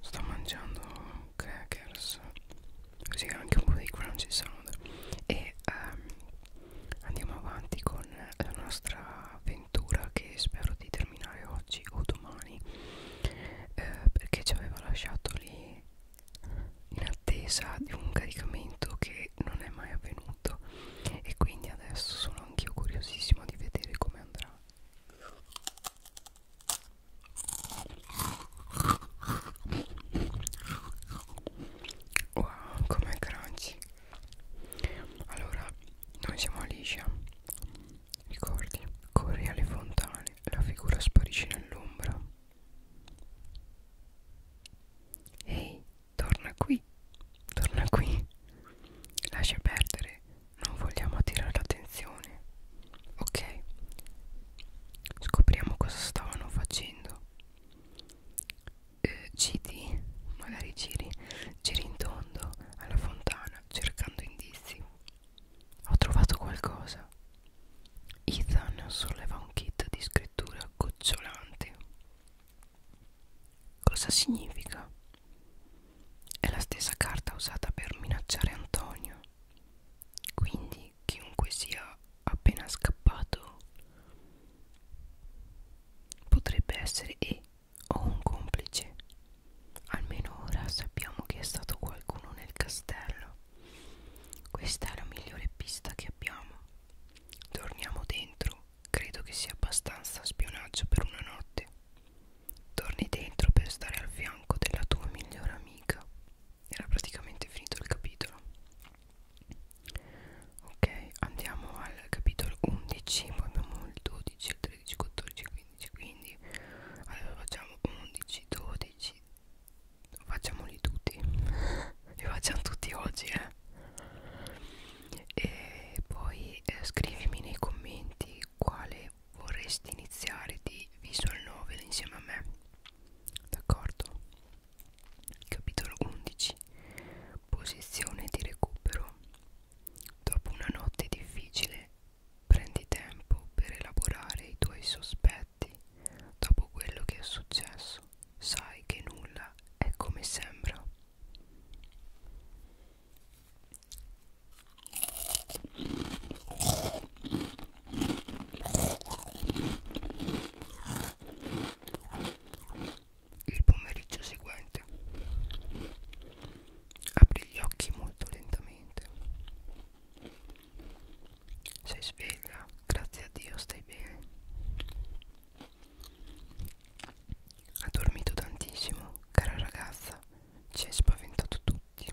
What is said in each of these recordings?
sto mangiando crackers così anche un po' di crunchy sound e um, andiamo avanti con la nostra avventura che spero di terminare oggi o domani eh, perché ci aveva lasciato lì in attesa di un caricamento che non è mai avvenuto e quindi adesso sono anch'io curiosissimo di vedere come andrà Wow, com'è crunchy Allora, noi siamo Alicia Ricordi, corri alle fontane La figura sparisce nell'ombra Ehi, torna qui Torna qui Lascia perdere non vogliamo attirare l'attenzione. Ok. Scopriamo cosa stavano facendo. Eh, giri, magari giri, giri in tondo alla fontana cercando indizi. Ho trovato qualcosa. Ethan solleva un kit di scrittura gocciolante. Cosa significa? È la stessa carta usata per minacciare Antonio. Quindi chiunque sia appena scappato potrebbe essere e o un complice. Almeno ora sappiamo che è stato qualcuno nel castello. Questa è la migliore pista che abbiamo. Torniamo dentro. Credo che sia abbastanza spionaggio per una notte. Torni dentro per stare al fianco della tua migliore amica. Era praticamente finito il capitolo. Ok, andiamo al capitolo 11, poi abbiamo il 12, il 13, 14, 15, quindi allora facciamo 11, 12, facciamoli tutti, li facciamo tutti oggi eh. E poi eh, scrivimi nei commenti quale vorresti iniziare di Visual Novel insieme a me d'accordo capitolo 11 posizione di recupero dopo una notte difficile prendi tempo per elaborare i tuoi sospetti dopo quello che è successo sai che nulla è come sembra il pomeriggio seguente apri gli occhi molto lentamente. Sei sveglia, grazie a Dio stai bene. Ha dormito tantissimo, cara ragazza, ci hai spaventato tu oggi?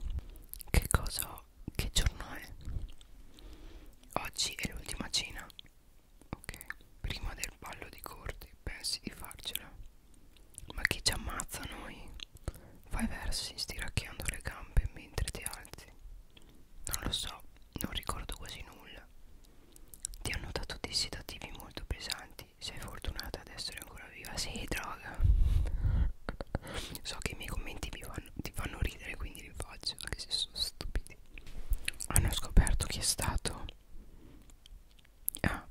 Che cosa? Che giorno è? Oggi è l'ultima cena. Ok, prima del ballo di corti, pensi di farcela. Ma chi ci ammazza noi? Fai versi stiracchiando le gambe mentre ti alzi. Non lo so, non ricordo quasi nulla. Ti hanno dato dei sedativi molto pesanti Senti, sei fortunata ad essere ancora viva? Sì, droga. so che i miei commenti mi fanno, ti fanno ridere, quindi li faccio, anche se sono stupidi. Hanno scoperto chi è stato. Ah,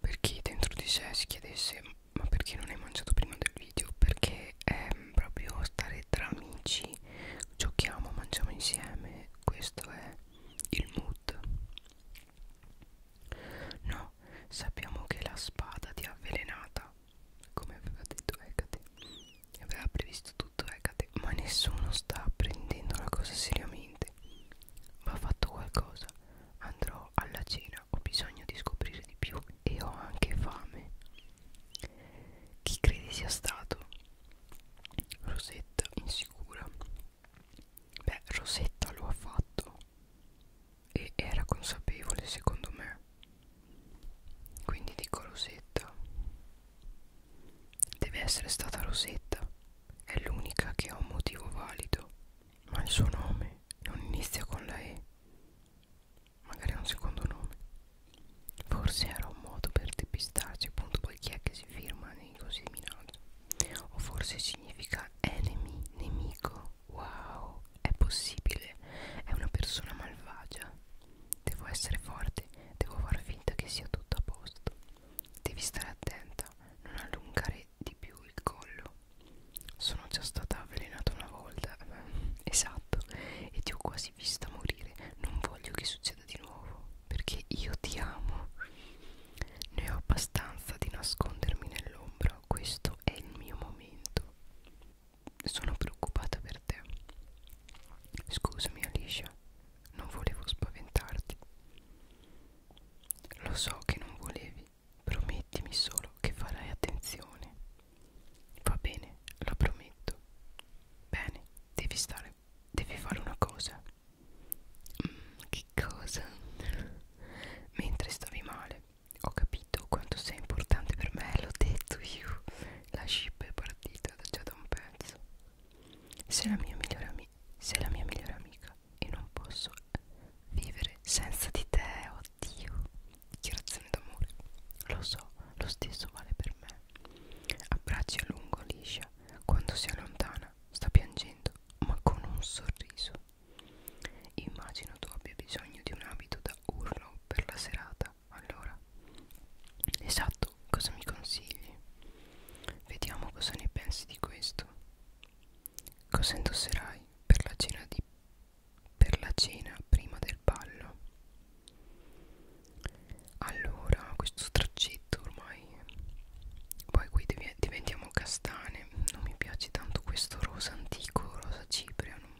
per chi dentro di sé si chiedesse ma perché non hai mangiato prima del video? Perché è proprio stare tra amici, giochiamo, mangiamo insieme, questo è il mood. No, no, sappiamo che la spada ti ha avvelenata, come aveva detto Hecate, aveva previsto tutto Hecate, ma nessuno sta prendendo la cosa seriamente. Va fatto qualcosa, andrò alla cena, ho bisogno di scoprire di più e ho anche fame. Chi credi sia stato? Rosetta, insicura. Beh, Rosetta lo ha fatto, e era consapevole secondo me quindi dico Rosetta deve essere stata Rosetta è l'unica che ha un motivo valido ma il suo nome non inizia con la E magari ha un secondo nome forse era un modo per depistarci appunto poi chi è che si firma nei così minacci o forse significa enemy, nemico. Wow, è possibile. È una persona malvagia. Devo essere forte, devo far finta che sia tutto a posto. Devi stare attenta, non allungare di più il collo. Sono già stata avvelenata una volta. Esatto, e ti ho quasi vista morire. Non voglio che succeda di nuovo, perché io ti amo. Ne ho abbastanza di nascondermi nell'ombra però questo è il mio momento sono preoccupata per te scusami Alicia non volevo spaventarti lo so che non volevi promettimi solo che farai attenzione va bene lo prometto bene devi stare devi fare una cosa mm, che cosa mentre stavi male ho capito quanto sia importante per me, l'ho detto io, la ship è partita già da un pezzo. Sei la mia migliore amica, sei la mia migliore amica e non posso vivere senza di te, oddio. Dichiarazione d'amore, lo so, lo stesso vale per me. Abbracci a lungo liscia, quando sia lontana, sta piangendo, ma con un sorriso. Immagino tu abbia bisogno di un abito da urlo per la serata, allora. Esatto, cosa mi consigli? Vediamo cosa ne pensi di questo. Cosa indosserai per la cena di per la cena prima del ballo? Allora, questo straccetto ormai. Poi qui devi eh, diventiamo castane non mi piace tanto questo rosa antico rosa cipria non,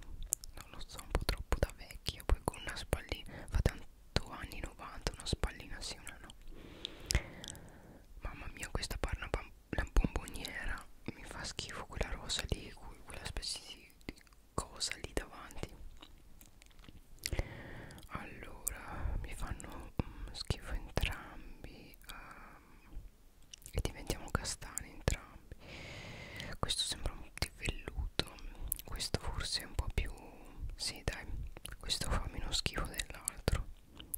non lo so un po' troppo da vecchio poi con una spallina fa tanto anni 90 una spallina sì una no mamma mia questa parla la bomboniera mi fa schifo quella rosa lì quella specie di, di cosa lì davanti allora mi fanno um, schifo entrambi um, e diventiamo castani entrambi questo sembra un po' di velluto questo forse è un po' più sì dai questo fa meno schifo dell'altro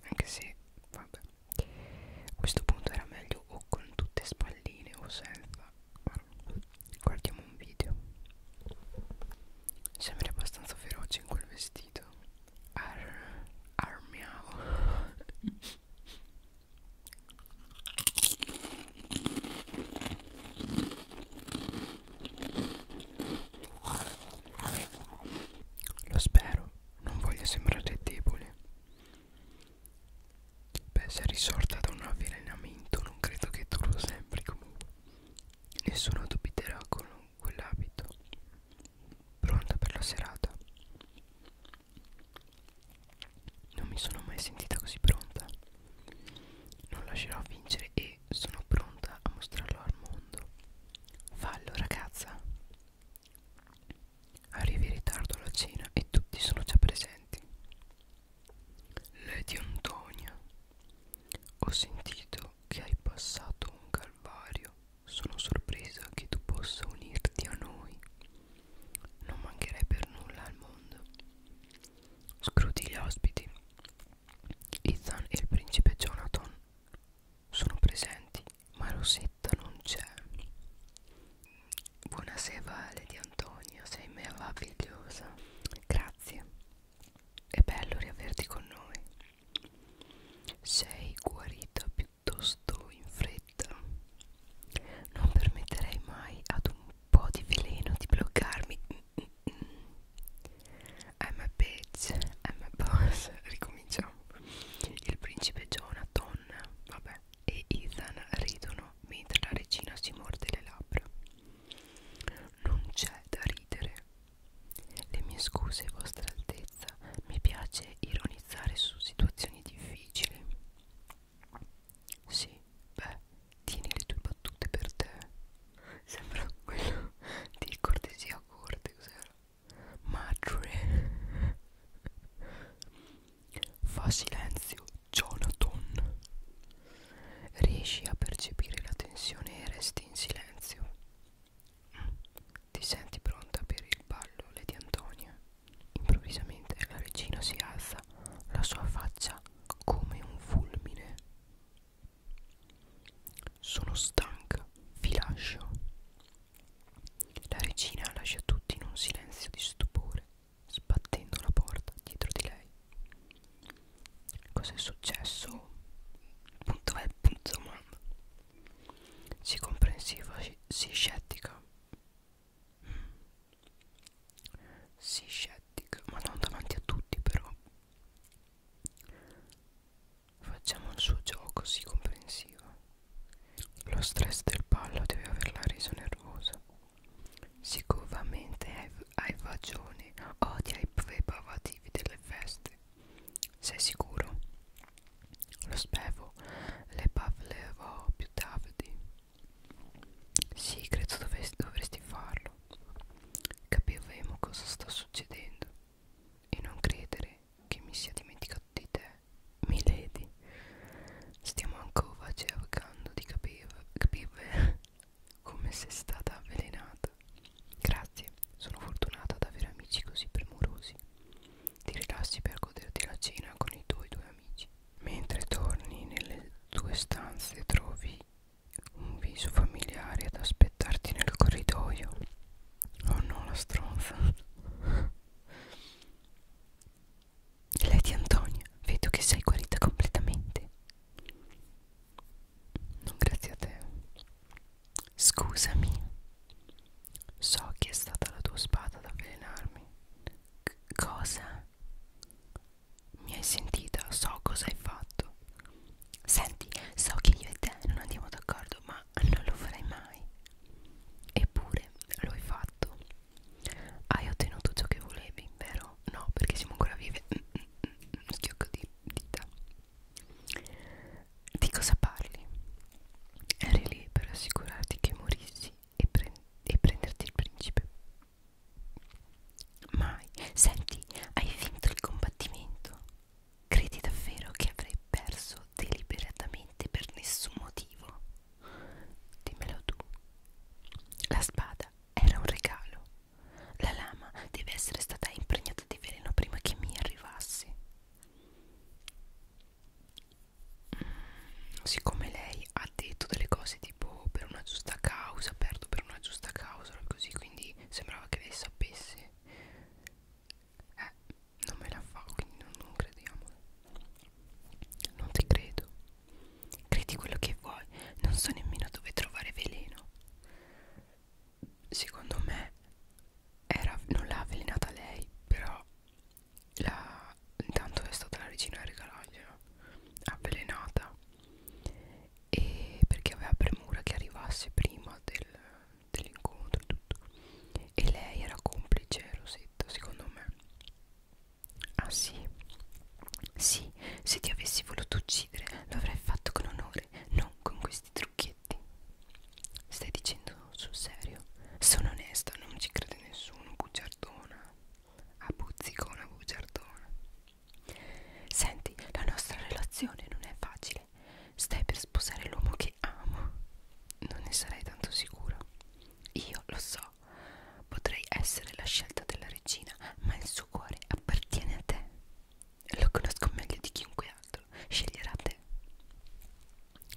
anche se vabbè a questo punto era meglio o con tutte spalline o senza guardiamo un video sembra abbastanza feroce in quel vestito ar armiamo Lo spero, non voglio sembrare debole. Beh, se è risorta da un avvelenamento, non credo che tu lo sembri comunque. Nessuno dubiterà con quell'abito. Pronta per la serata. Non mi sono mai sentita così pronta. Non lascerò vincere e sono pronta a mostrarlo al mondo. Fallo, ragazza. Arrivi in ritardo alla cena e tutti sono già presenti. Lady Antonia, ho sentito che hai passato un calvario sono sorpresa che tu possa unirti a noi. Non mancherei per nulla al mondo. Scruti gli ospiti. Ethan e il principe Jonathan sono presenti, ma Rosetta non c'è. Buonasera Lady Antonia, sei meravigliosa. Grazie. È bello riaverti con noi. Sei guarita piuttosto in fretta. Non permetterei mai ad un po' di veleno di bloccarmi. I'm a bitch, I'm a boss. Ricominciamo. Il principe Jonathan, vabbè, e Ethan ridono mentre la regina si morde le labbra. Non c'è da ridere. Le mie scuse, vostra altezza, mi piace ironizzare su situazioni difficili. Sì, beh, tieni le tue battute per te. Sembra quello di cortesia a corte, cos'era? Madre. Fa silenzio, Jonathan. Riesci a percepire la tensione e resti in silenzio. Ti senti pronta per il ballo, Lady Antonia? Improvvisamente la regina si alza, la sua faccia come un fulmine. Sono stanca, vi lascio. La regina lascia tutti in un silenzio di stupore, sbattendo la porta dietro di lei. Cos'è successo? Punto è punto domanda. Sii comprensiva, sii scettica. Sii scettica, ma non davanti a tutti però. Facciamo il suo gioco, sii comprensiva. Lo stress del ballo deve averla reso nervosa. Sicuramente hai, hai ragione, odia i preparativi delle feste. Sei sicuro? Lo spevo le parlerò più tardi. Sì, credo dovresti, dovresti farlo. Capiremo cosa sta succedendo. E non credere che mi sia dimenticato di te, Milady. Stiamo ancora cercando di capire, capire come sei stata avvelenata. Grazie, sono fortunata ad avere amici così premurosi ti rilassi per goderti la cena con i tuoi due amici. Mentre torni nelle tue stanze trovi un viso familiare ad aspettarti nel corridoio. Oh no, la stronza. Lei di Antonia, vedo che sei guarita completamente. Non grazie a te. Scusami, so che è stata la tua spada ad avvelenarmi. C cosa? Mi hai sentita, so cosa hai fatto. Senti, so che io e te non andiamo d'accordo, ma non lo farei mai. Eppure lo hai fatto. Hai ottenuto ciò che volevi, vero? No, perché siamo ancora vive. Mm, mm, mm, schiocco di dita. Di cosa parli? Eri lì per assicurarti che morissi e, pre e prenderti il principe. Mai. Senti, hai vinto il combattimento. Credi davvero che avrei perso deliberatamente per nessun motivo? Dimmelo tu. La spada era un regalo. La lama deve essere stata impregnata di veleno prima che mi arrivasse siccome lei ha detto delle cose tipo per una giusta causa, perdo per una giusta causa, così quindi sembrava che lei sapesse, eh, non me la fa, quindi non, non crediamo. Non ti credo, credi quello che vuoi, non so nemmeno dove trovare veleno. Secondo me era, non l'ha avvelenata lei, però la, intanto è stata la regina a regalargliela avvelenata e perché aveva premura che arrivasse prima del, dell'incontro e tutto e lei era complice Rosetta secondo me ah sì sì se ti avessi voluto uccidere lo avrei fatto con onore non con questi trucchi fazzoletti. Stai dicendo sul serio? Sono onesta, non ci crede nessuno, bugiardona. A buzzicona, bugiardona. Senti, la nostra relazione non è facile. Stai per sposare l'uomo che amo. Non ne sarei tanto sicura. Io lo so. Potrei essere la scelta della regina, ma il suo cuore appartiene a te. Lo conosco meglio di chiunque altro. Sceglierà te.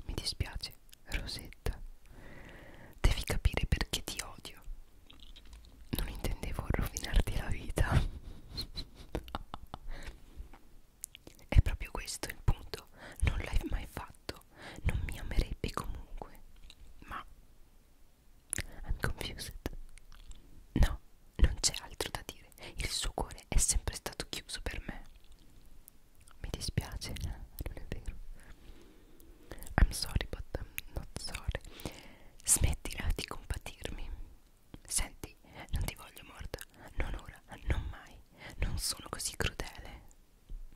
Mi dispiace, Rosetta. Devi capire perché ti odio. Non intendevo rovinarti la vita. È proprio questo il punto. Non l'hai mai fatto. Non mi amerebbe comunque. Ma... I'm confused. No, non c'è altro da dire. Il suo cuore è sempre stato chiuso per me. Mi dispiace, non è vero. I'm sorry, but I'm not sorry. Smettila di compatirmi. Senti, non ti voglio morta. Non ora, non mai. Non sono così crudele.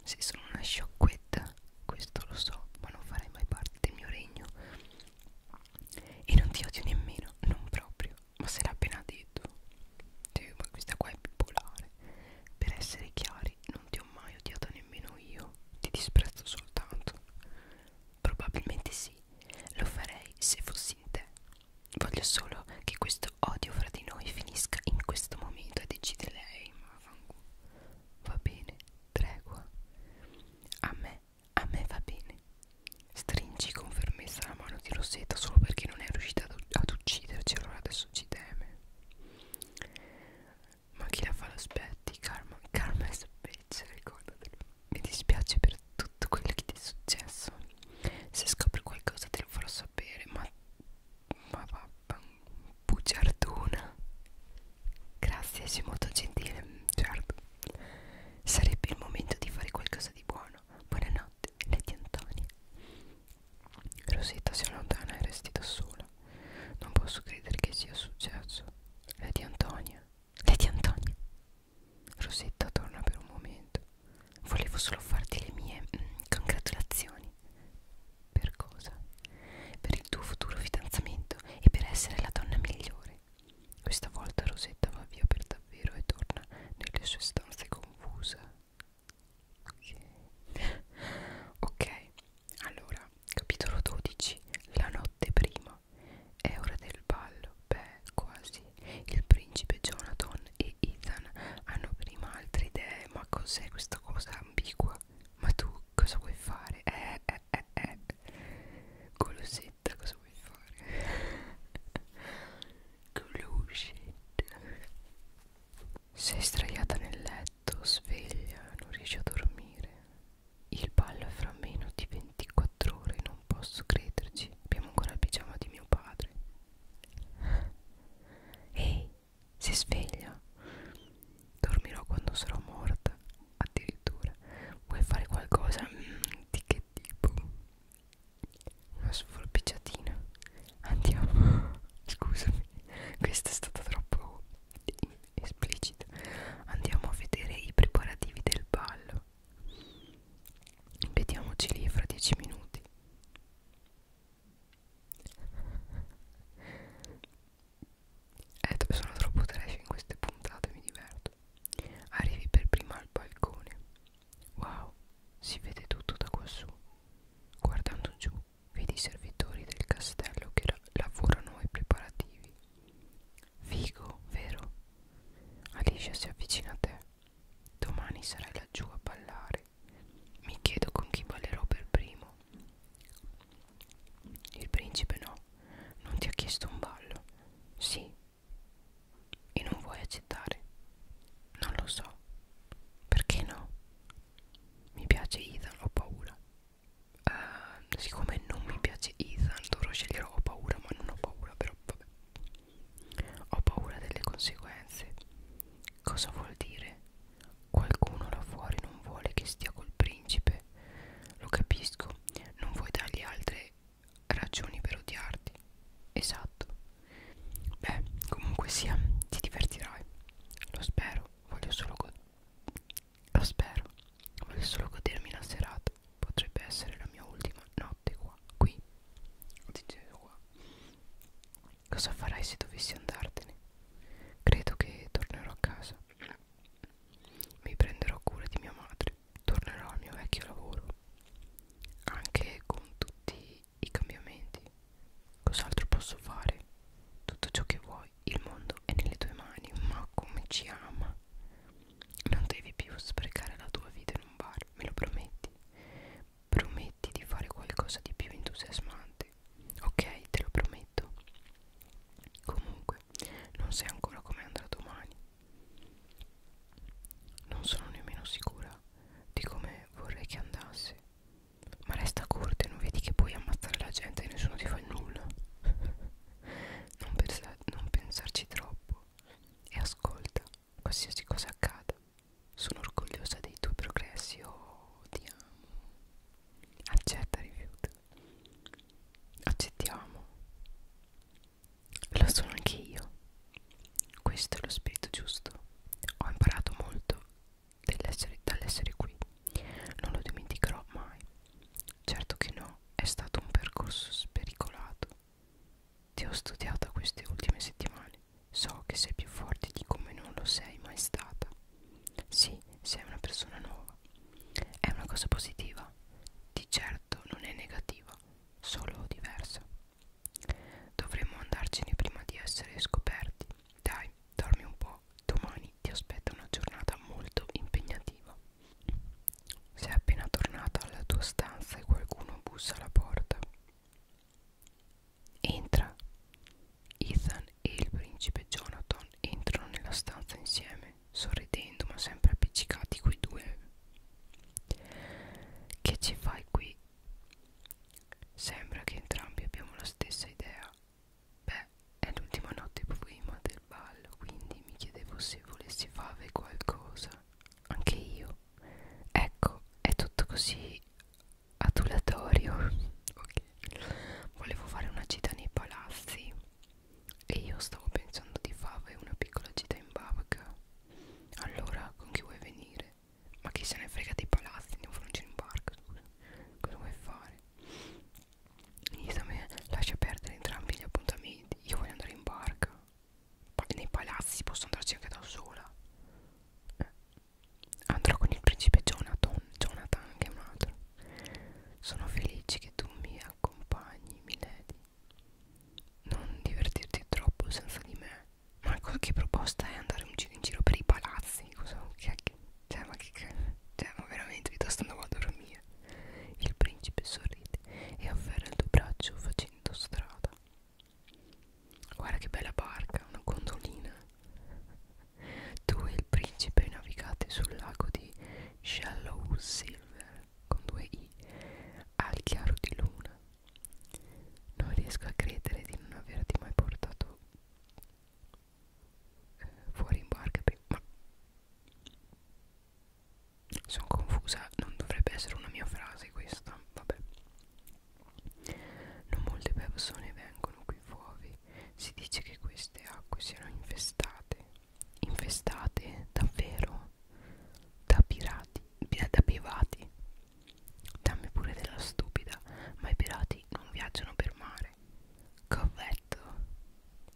Se sono una sciocquetta, questo lo so, ma non farai mai parte del mio regno. E non ti odio nemmeno, non proprio ma se l'ha appena detto cioè, questa qua è bipolare per essere chiari non ti ho mai odiato nemmeno io ti disprezzo soltanto probabilmente sì lo farei se fossi in te voglio solo che questo odio fra di noi finisca in questo momento e decide lei ma va bene tregua a me a me va bene stringi con fermezza la mano di Rosetta solo perché non è riuscita ad, ad ucciderla ucciderci cioè, allora adesso ci teme ma chi la fa l'aspetti karma karma è specie ricordatelo mi dispiace per tutto quello che ti è successo se scopri qualcosa te lo farò sapere ma ma papà bugiardona grazie sei molto gentile certo sarebbe il momento di fare qualcosa di buono buonanotte Lady Antonia Rosetta si allontana e resti da sola. Non posso credere che sia successo. Lady Antonia. Lady Antonia. Rosetta torna per un momento. Volevo solo farti le mie mm, congratulazioni. Per cosa? Per il tuo futuro fidanzamento e per essere la donna migliore. Questa volta Rosetta va via per davvero e torna nelle sue stanze confusa ok, okay. allora capitolo 12 la notte prima è ora del ballo beh quasi il principe Jonathan e Ethan hanno prima altre idee ma cos'è questa cosa ambigua ma tu cosa vuoi fare eh eh eh eh golosetta cosa vuoi fare Glue shade. Sei straiata nel letto, sveglia, non riesci a dormire. Il ballo è fra meno di 24 ore, non posso crederci. Abbiamo ancora il pigiama di mio padre. Ehi, si sveglia. Dormirò quando sarò morta. Addirittura. Vuoi fare qualcosa? Mm, di che tipo? una svolpicciatina andiamo scusami questa è stata troppo esplicita andiamo a vedere i preparativi del ballo vediamoci lì fra 10 minuti eh, sono troppo trash in queste puntate mi diverto arrivi per prima al balcone Wow, si vede tutto da quassù. Guardando giù, vedi i servitori del castello che lavorano ai preparativi. Figo, vero? Alicia si avvicina a te. Domani sarai laggiù a ballare. Mi chiedo con chi ballerò per primo. Il principe no, non ti ha chiesto un ballo. Sì, e non vuoi accettare? Non lo so. Perché no? Mi piace Ethan, ho paura. Uh, siccome non mi piace Ethan, dovrò scegliere ho paura, ma non ho paura, però vabbè. Ho paura delle conseguenze. Cosa vuol dire? Qualcuno là fuori non vuole che stia col principe. Lo capisco, non vuoi dargli altre ragioni per odiarti. Esatto, Beh, comunque sia, ti divertirai. Lo spero, voglio solo Lo spero, voglio solo godermi la serata. Potrebbe essere la mia ultima notte qua, qui. Dicevo qua. Cosa farai se dovessi andartene? Credo che tornerò a casa. Mi prenderò cura di mia madre. Tornerò al mio vecchio lavoro. Anche con tutti i cambiamenti. Cos'altro posso fare? Tutto ciò che vuoi, il mondo è nelle tue mani, ma come ci ama. Non devi più sprecare la tua vita in un bar, me lo prometti. Prometti di fare qualcosa di più entusiasmante. Ok, te lo prometto. Comunque, non sai ancora come andrà domani. Non sono nemmeno sicura di come vorrei che andassi ma resta corte non vedi che puoi ammazzare la gente e nessuno ti fa nulla non, pensa non pensarci troppo e ascolta qualsiasi cosa accada sono orgogliosa dei tuoi progressi oh ti amo accetta rifiuto accettiamo lo sono anche io questo è lo spirito giusto. Ho imparato molto dall'essere qui. Non lo dimenticherò mai. Certo che no, è stato un percorso spericolato. Ti ho studiata queste ultime settimane. So che sei più forte di come non lo sei mai stata. Sì, sei una persona nuova. È una cosa positiva. Di certo non è negativa, solo diversa. Dovremmo andarcene prima di essere scoperti. Dai, dormi un po'. Domani ti aspetta una giornata molto impegnativa. Sei appena tornata alla tua stanza e qualcuno bussa alla porta. Entra. Ethan e il principe Jonathan entrano nella stanza insieme, sorridendo ma sempre appiccicati quei due. Che ci fai qui? Sembra che entrambi abbiamo la stessa idea. Beh, è l'ultima notte prima del ballo, quindi mi chiedevo se volessi fare qualcosa. Anche io. Ecco, è tutto così adulatorio. ok. Volevo fare una gita nei palazzi e io stavo pensando di fare una piccola gita in barca. Allora, con chi vuoi venire? Ma chi se ne frega dei palazzi? Andiamo a fare un giro in parco, scusa. Cosa vuoi fare? Isame lascia perdere entrambi gli appuntamenti. Io voglio andare in barca. Pa nei palazzi posso andarci anche da sola. Eh. Andrò con il principe Jonathan, Jonathan che è un altro. Sono felice che tu mi accompagni, Milady. Non divertirti troppo senza di me ma che proposta è andare in giro, in giro per i palazzi? Cosa, che, cioè, ma che, cioè, ma veramente piuttosto andavo a dormire. Il principe sorride e afferra il tuo braccio facendo strada. Guarda che bella barca, una gondolina. Tu e il principe navigate sul lago di Shallow Silver con due i al chiaro di luna non riesco a credere di non averti mai portato eh, fuori in barca prima sono confusa non dovrebbe essere una mia frase questa vabbè non molte persone vengono qui fuori si dice che queste acque siano infestate infestate davvero da pirati da, da privati Dammi pure della stupida, ma i pirati non viaggiano per mare. Covetto.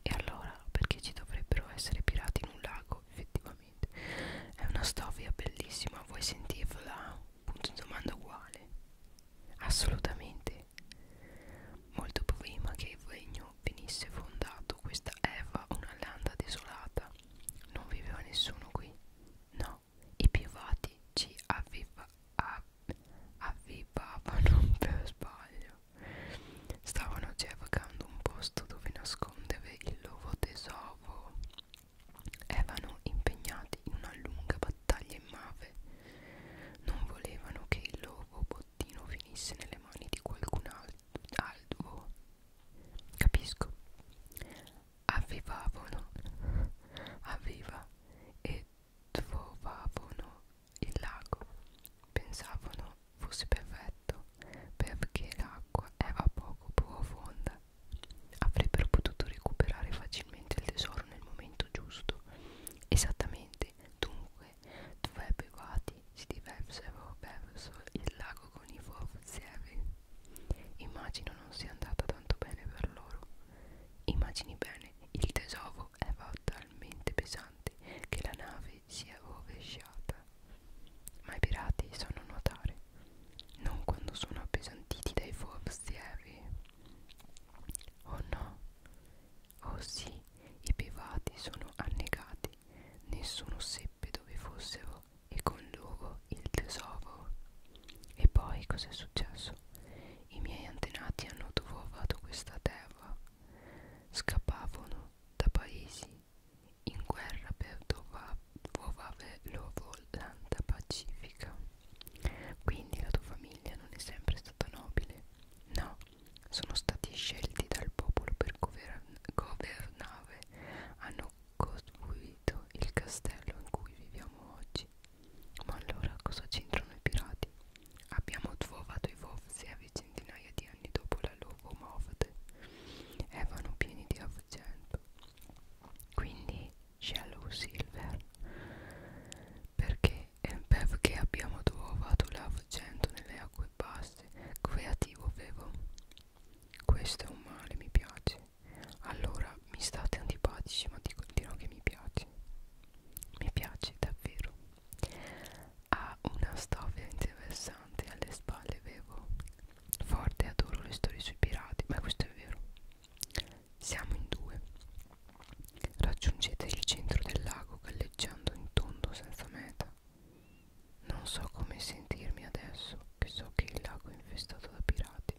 E allora perché ci dovrebbero essere pirati in un lago, effettivamente? È una storia bellissima, vuoi sentirla? Punto di domanda uguale. Assolutamente. Molto prima che il regno venisse fondato, questa Eva, una landa desolata, non viveva nessuno qui. No, no, i pivati ci avviva, av, avvivavano per sbaglio. Stavano cercando un posto dove nascondere il loro tesoro. Erano impegnati in una lunga battaglia in mare. Non volevano che il loro bottino finisse nelle mani di qualcun altro. Capisco avvivavano, avviva e trovavano il lago. Pensavano fosse perfetto perché l'acqua era poco profonda. Avrebbero potuto recuperare facilmente il tesoro nel momento giusto. Esattamente, dunque, due privati si diversero verso il lago con i forzieri Immagino non sia andata tanto bene per loro. Immagini bene, il tesoro era talmente pesante che la nave si è rovesciata. Ma i pirati sanno nuotare, non quando sono appesantiti dai forzieri. Oh no, oh sì, i pirati sono annegati, nessuno seppe dove fossero e conduco il tesoro. E poi cos'è successo? I miei antenati hanno trovato questa terra. Scappavano da paesi in guerra per trovare loro l'anta pacifica. Quindi la tua famiglia non è sempre stata nobile. No, sono stati scelti dal popolo per governare. Hanno costruito il castello in cui viviamo oggi. Ma allora cosa c'entrano i pirati? Abbiamo trovato i Vovsevi centinaia di anni dopo la loro morte. Erano pieni di argento. Quindi Shallow Silver. Perché? Perché abbiamo trovato l'argento nelle acque basse. Creativo, vero? Questo è un male, mi piace. Allora mi state antipatici ma ti continuo che mi piace Mi piace davvero Ha una storia interessante alle spalle Bevo Forte adoro le storie sui pirati Ma questo è vero Siamo in due Raggiungete il centro del lago galleggiando in tondo senza meta non so come sentirmi adesso che so che il lago è infestato da pirati.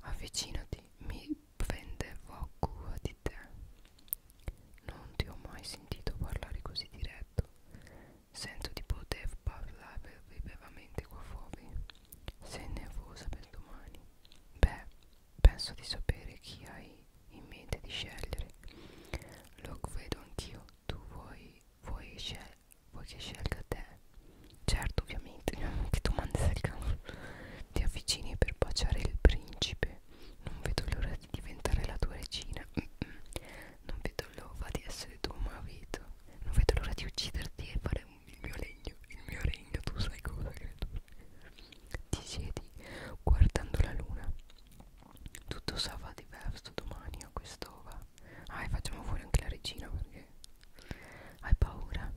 Avvicinati, mi prendevo cura di te. Non ti ho mai sentito parlare così diretto. Sento di poter parlare liberamente qua fuori. Sei nervosa per domani. Beh, penso di sapere chi hai in mente di scegliere. Lo credo anch'io. Tu vuoi vuoi, scel vuoi che scelga te? Certo, ovviamente, che domande del cavolo. Ti avvicini per baciare il principe. Non vedo l'ora di diventare la tua regina. Mm -mm. Non vedo l'ora di essere tuo marito. Non vedo l'ora di ucciderti e fare il mio legno. Il mio regno, tu sai cosa credo. Ti siedi guardando la luna. Tutto sarà diverso domani a quest'ora paura ah e facciamo fuori anche la regina perché hai paura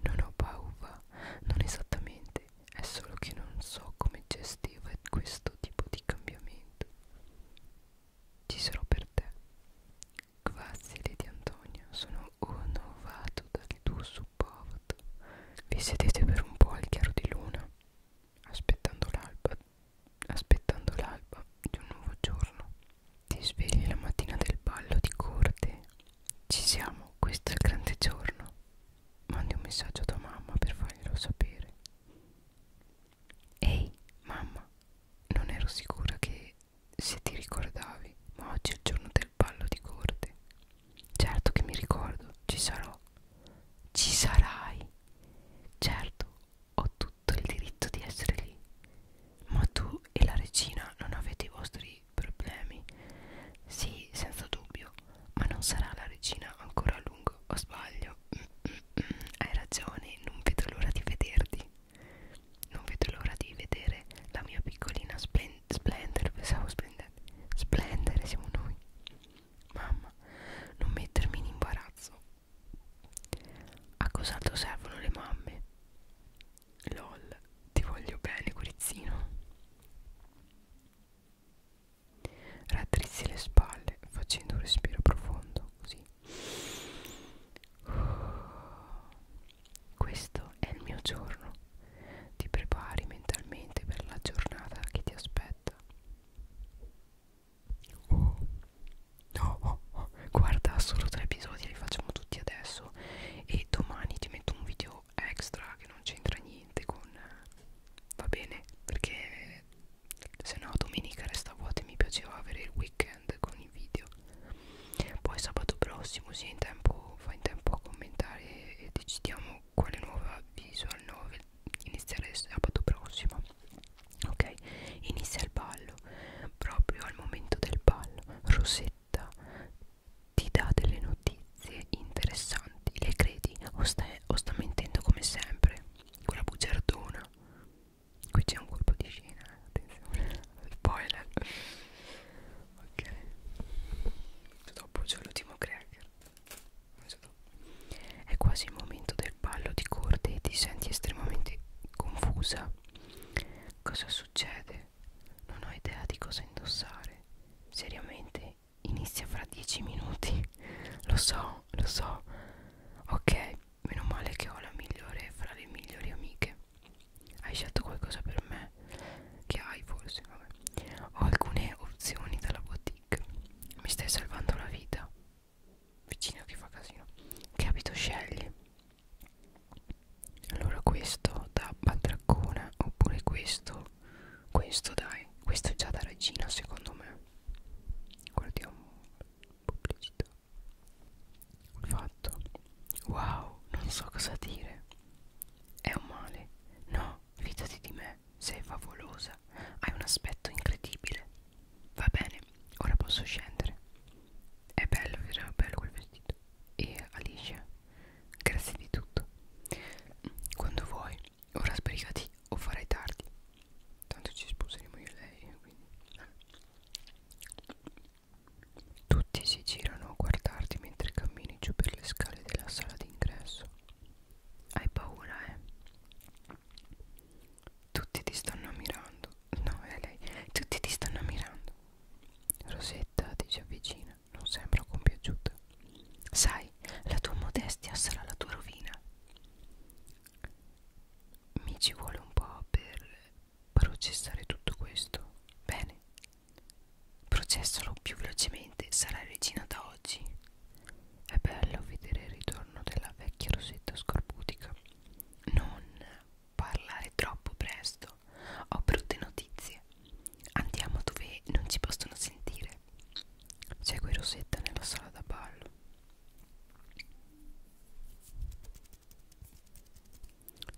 non ho paura non esattamente è solo che non so come gestire questo tipo di cambiamento ci sarò per te grazie Lady Antonia sono onorato dal tuo supporto vi sedete per un po' al chiaro di luna aspettando l'alba aspettando l'alba di un nuovo giorno. Ti svegli la mattina del ballo di corte. Ci siamo, questo è il grande giorno. Mandi un messaggio a tua mamma per farglielo sapere. Ehi, mamma, non ero sicura che se ti ricordavi, ma oggi è il giorno del ballo di corte. Certo che mi ricordo, ci sarò. Ci sarai. Certo, ho tutto il diritto di essere lì. Ma tu e la regina non avete i vostri problemi? Sì, senza dubbio, ma non sarà la regina ancora a lungo, o sbaglio? Mm, mm, mm, hai ragione, non vedo l'ora di vederti. Non vedo l'ora di vedere la mia piccolina splen splendere, pensavo splendere, splendere siamo noi. Mamma, non mettermi in imbarazzo. A cos'altro servono le mamme? Lol, ti voglio bene, Curizzino. Rattrizzi le spalle facendo un respiro profondo, così. Questo è il mio giorno. Ti prepari mentalmente per la giornata che ti aspetta. Oh, no, oh, oh. guarda solo tre episodi, li facciamo tutti adesso. E domani ti metto un video extra che non c'entra niente con. Va bene, perché se no domenica resta vuota e mi piaceva avere il weekend con i video. Poi sabato prossimo, sì, in tempo, fa in tempo a commentare e decidiamo quale nuova visual novel iniziare sabato prossimo ok inizia il ballo proprio al momento del ballo Rosetta ti dà delle notizie interessanti le credi o, stai, o sta mentendo come sempre quella bugiardona qui c'è un colpo di scena attenzione spoiler ok dopo c'è l'ultimo cracker è quasi il momento del ballo di corde e ti senti estremamente confusa. Cosa succede? Non ho idea di cosa indossare. Seriamente, inizia fra dieci minuti. Lo so, lo so. Ok, meno male che ho la migliore fra le migliori amiche. Hai scelto qualcosa per me? Che hai forse? Vabbè. Ho alcune opzioni dalla boutique. Mi stai salvando la vita vicino che fa casino che abito scegli allora questo da batraccona oppure questo questo dai questo è già da regina secondo me guardiamo pubblicità fatto wow non so cosa dire è un male no fidati di me sei favolosa hai un aspetto incredibile Va bene, ora posso scendere. È bello, vero? Bello quel vestito. E Alicia, grazie di tutto. Quando vuoi, ora sbrigati o farai tardi. Tanto ci sposeremo io e lei, quindi. Tutti si girano a guardarti mentre cammini giù per le scale della sala d'ingresso. Hai paura, eh? Tutti ti stanno mirando. No, è lei. Tutti ti stanno mirando. Rosetta ti si avvicina, non sembra compiaciuta. Sai, la tua modestia sarà la tua rovina. Mi ci vuole un po' per processare tutto questo. Bene, processalo più velocemente, sarai regina da oggi. È bello vedere il ritorno della vecchia Rosetta scorbutica non parlare troppo presto, ho brutte notizie. Andiamo dove non ci possono sentire. Segue Rosetta nella sala da ballo.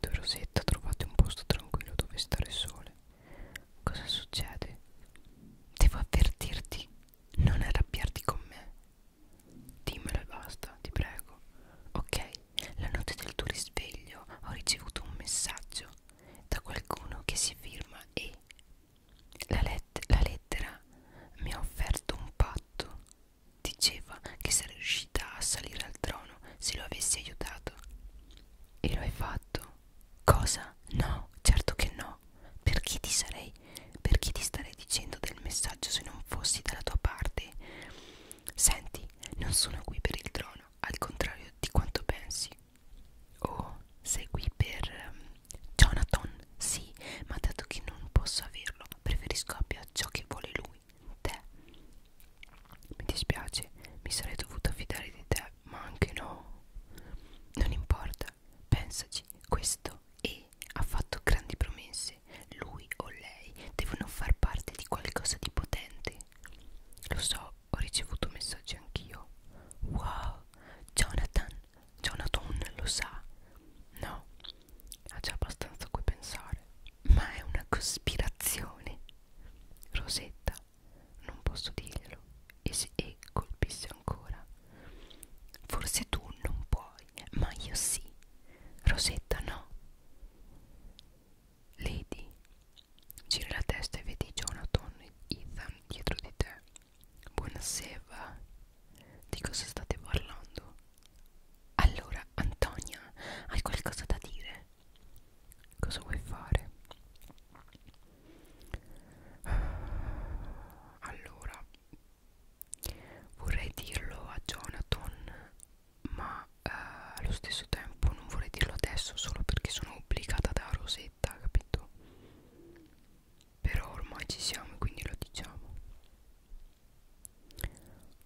Tu e Rosetta trovate un posto tranquillo dove stare sole. Cosa succede? Devo avvertirti, non arrabbiarti con me. Dimmelo e basta, ti prego. Ok, la notte del tuo risveglio ho ricevuto un messaggio da qualcuno che si firma E. La, let la lettera mi ha offerto un patto. Diceva che sarei riuscita a salire al trono se lo avessi aiutato. E lo hai fatto? Cosa? No, certo che no. Perché ti sarei lei perché ti starei dicendo del messaggio se non fossi dalla tua parte senti non sono qui per il trono al contrario di quanto pensi oh sei qui per um, Jonathan sì ma dato che non posso averlo preferisco abbia ciò che vuole lui te mi dispiace mi sarei dovuta fidare di te ma anche no non importa pensaci questo è ha fatto grandi promesse. Lui o lei devono far parte di qualcosa di potente. Lo so, ho ricevuto messaggi anch'io. Wow, Jonathan, Jonathan lo sa. No, ha già abbastanza a cui pensare. Ma è una cospirazione. Rosetta, non posso dirglielo. E, se, e colpisse ancora. Forse tu non puoi lui ma io sì Rosetta no Lady gira la testa e vedi Jonathan e Ethan dietro di te buonasera di cosa state parlando allora Antonia hai qualcosa da dire cosa vuoi fare allora vorrei dirlo a Jonathan ma eh, allo stesso tempo non vorrei dirlo adesso solo perché sono obbligata da Rosetta capito però ormai ci siamo quindi lo diciamo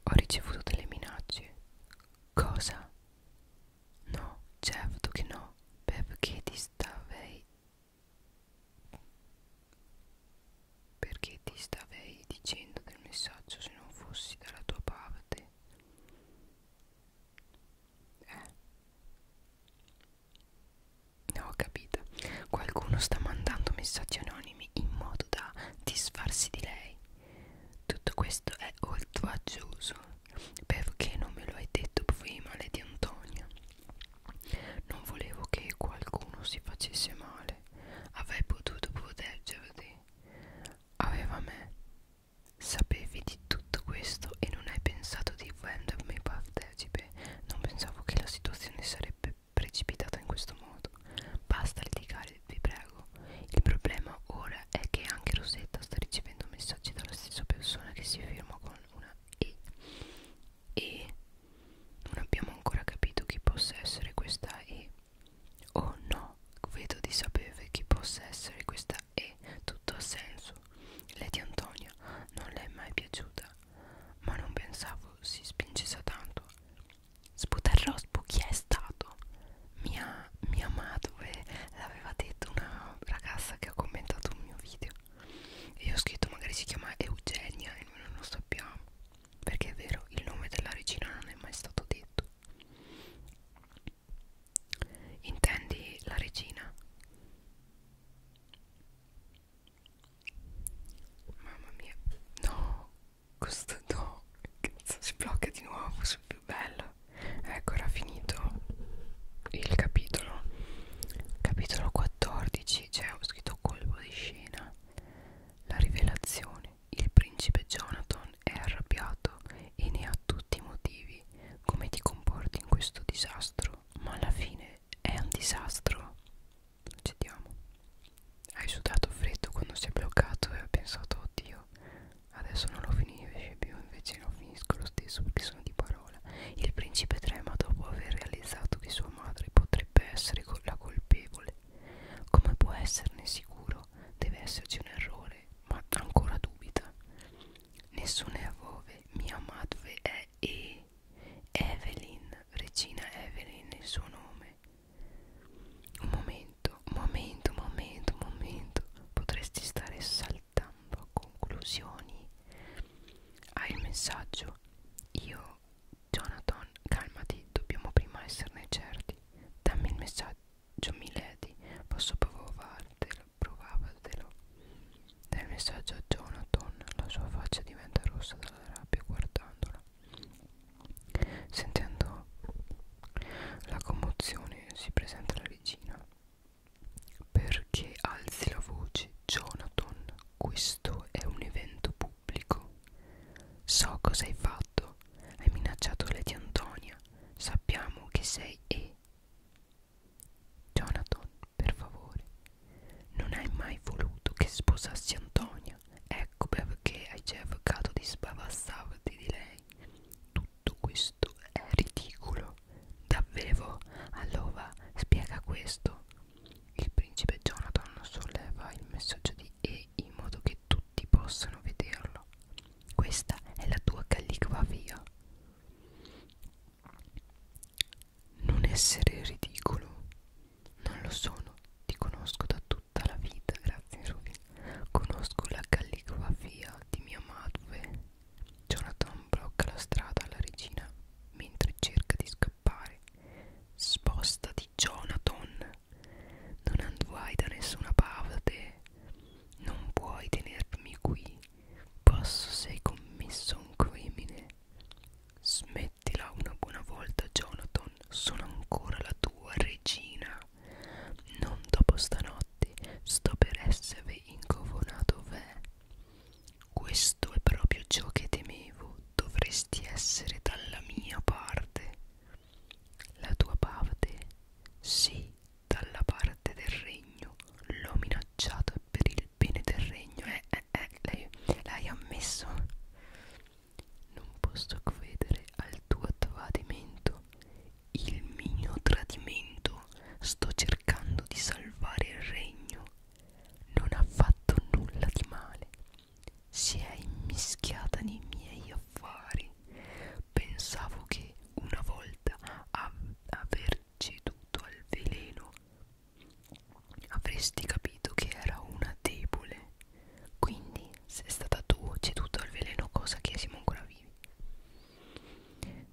ho ricevuto delle minacce cosa no certo che no perché ti stavei perché ti starei dicendo del messaggio se non fossi dalla tua parte? Eh? No, ho capito. Qualcuno sta mandando messaggi anonimi in modo da disfarsi di lei. Tutto questo è oltraggioso. Perché non me lo hai detto prima, Lady Antonia? Non volevo che qualcuno si facesse male. Avrei potuto proteggerti. Aveva me. Sapevi di tutto questo e non hai pensato di rendermi partecipe. Non pensavo che la situazione sarebbe precipitata in questo modo. Basta litigare, vi prego. Il problema ora è che anche Rosetta sta ricevendo messaggi dalla stessa persona che si firma con una E. E non abbiamo ancora capito chi possa essere questa E. Oh no, vedo di sapere chi possa essere questa E. Tutto ha senso. Lady Antonia non le è mai piaciuta, ma non pensavo si spingesse tanto. Sputarrò chi è stato? Mia, mia madre l'aveva detto una ragazza che ha commentato un mio video. E io ho scritto magari si chiama Eugenia e noi non lo sappiamo perché è vero, il nome della regina non è mai stato detto. Intendi la regina? Mamma mia, no, questo no, si blocca di nuovo sul più bello. Ecco, era finito il capitolo. Capitolo 14, cioè ho scritto colpo di scena. La rivelazione. Il principe Jonathan è arrabbiato e ne ha tutti i motivi. Come ti comporti in questo disastro? Ma alla fine è un disastro. Cediamo. Hai sudato freddo quando si è bloccato e ho pensato, oddio, adesso non lo finisce più, invece non finisco lo stesso perché sono di parola. Il principe trema dopo aver realizzato che sua sua madre potrebbe essere la colpevole. Come può esserne sicuro? Deve esserci un errore, ma ancora dubita. Nessuno è a vove, mia madre è E. Evelyn, regina Evelyn, il suo nome. Un momento, un momento, un momento, un momento. Potresti stare saltando a conclusioni. Hai il messaggio? Io Jonathan, calmati, dobbiamo prima esserne certi. Dammi il messaggio, milady, posso provartelo, provartelo. Dai il messaggio a Jonathan, la sua faccia diventa rossa dalla rabbia guardandola. Sentendo la commozione si presenta la regina. Perché alzi la voce, Jonathan? Questo è un evento pubblico pubblico. So cosa hai fatto. Hai minacciato Lady Antonia. Sappiamo che sei e. Jonathan, per favore. Non hai mai voluto che sposassi Antonia. Ecco perché hai cercato di sbavassarti di lei. Tutto questo è ridicolo. Davvero? Allora spiega questo. Il principe Jonathan solleva il messaggio di E in modo che tutti possano vederlo. Questa è la tua calligrafia. Non essere ridicolo. Non lo sono, ti conosco da tutta la vita, grazie Ruby. Conosco la calligrafia di mia madre. Jonathan blocca la strada alla regina mentre cerca di scappare scappare. Spostati, Jonathan. Non andrai da nessuna parte. Non puoi tenermi qui. Posso se hai commesso un crimine. Smettila una buona volta, Jonathan. Sono ancora la tua regina. Non dopo stanotte. Sto per essere incoronato re. Questo è proprio ciò che temevo. Dovresti essere dalla mia parte. La tua parte? Sì, dalla parte del regno. L'ho minacciata per il bene del regno. Eh, eh, eh, l'hai ammesso. Non posso credere al tuo tradimento. Il mio tradimento. Sto cercando di salvare il regno non ha fatto nulla di male, si è immischiata nei miei affari. Pensavo che una volta av aver ceduto al veleno avresti capito che era una debole. Quindi, se è stata tu ceduta al veleno, cosa che siamo ancora vivi?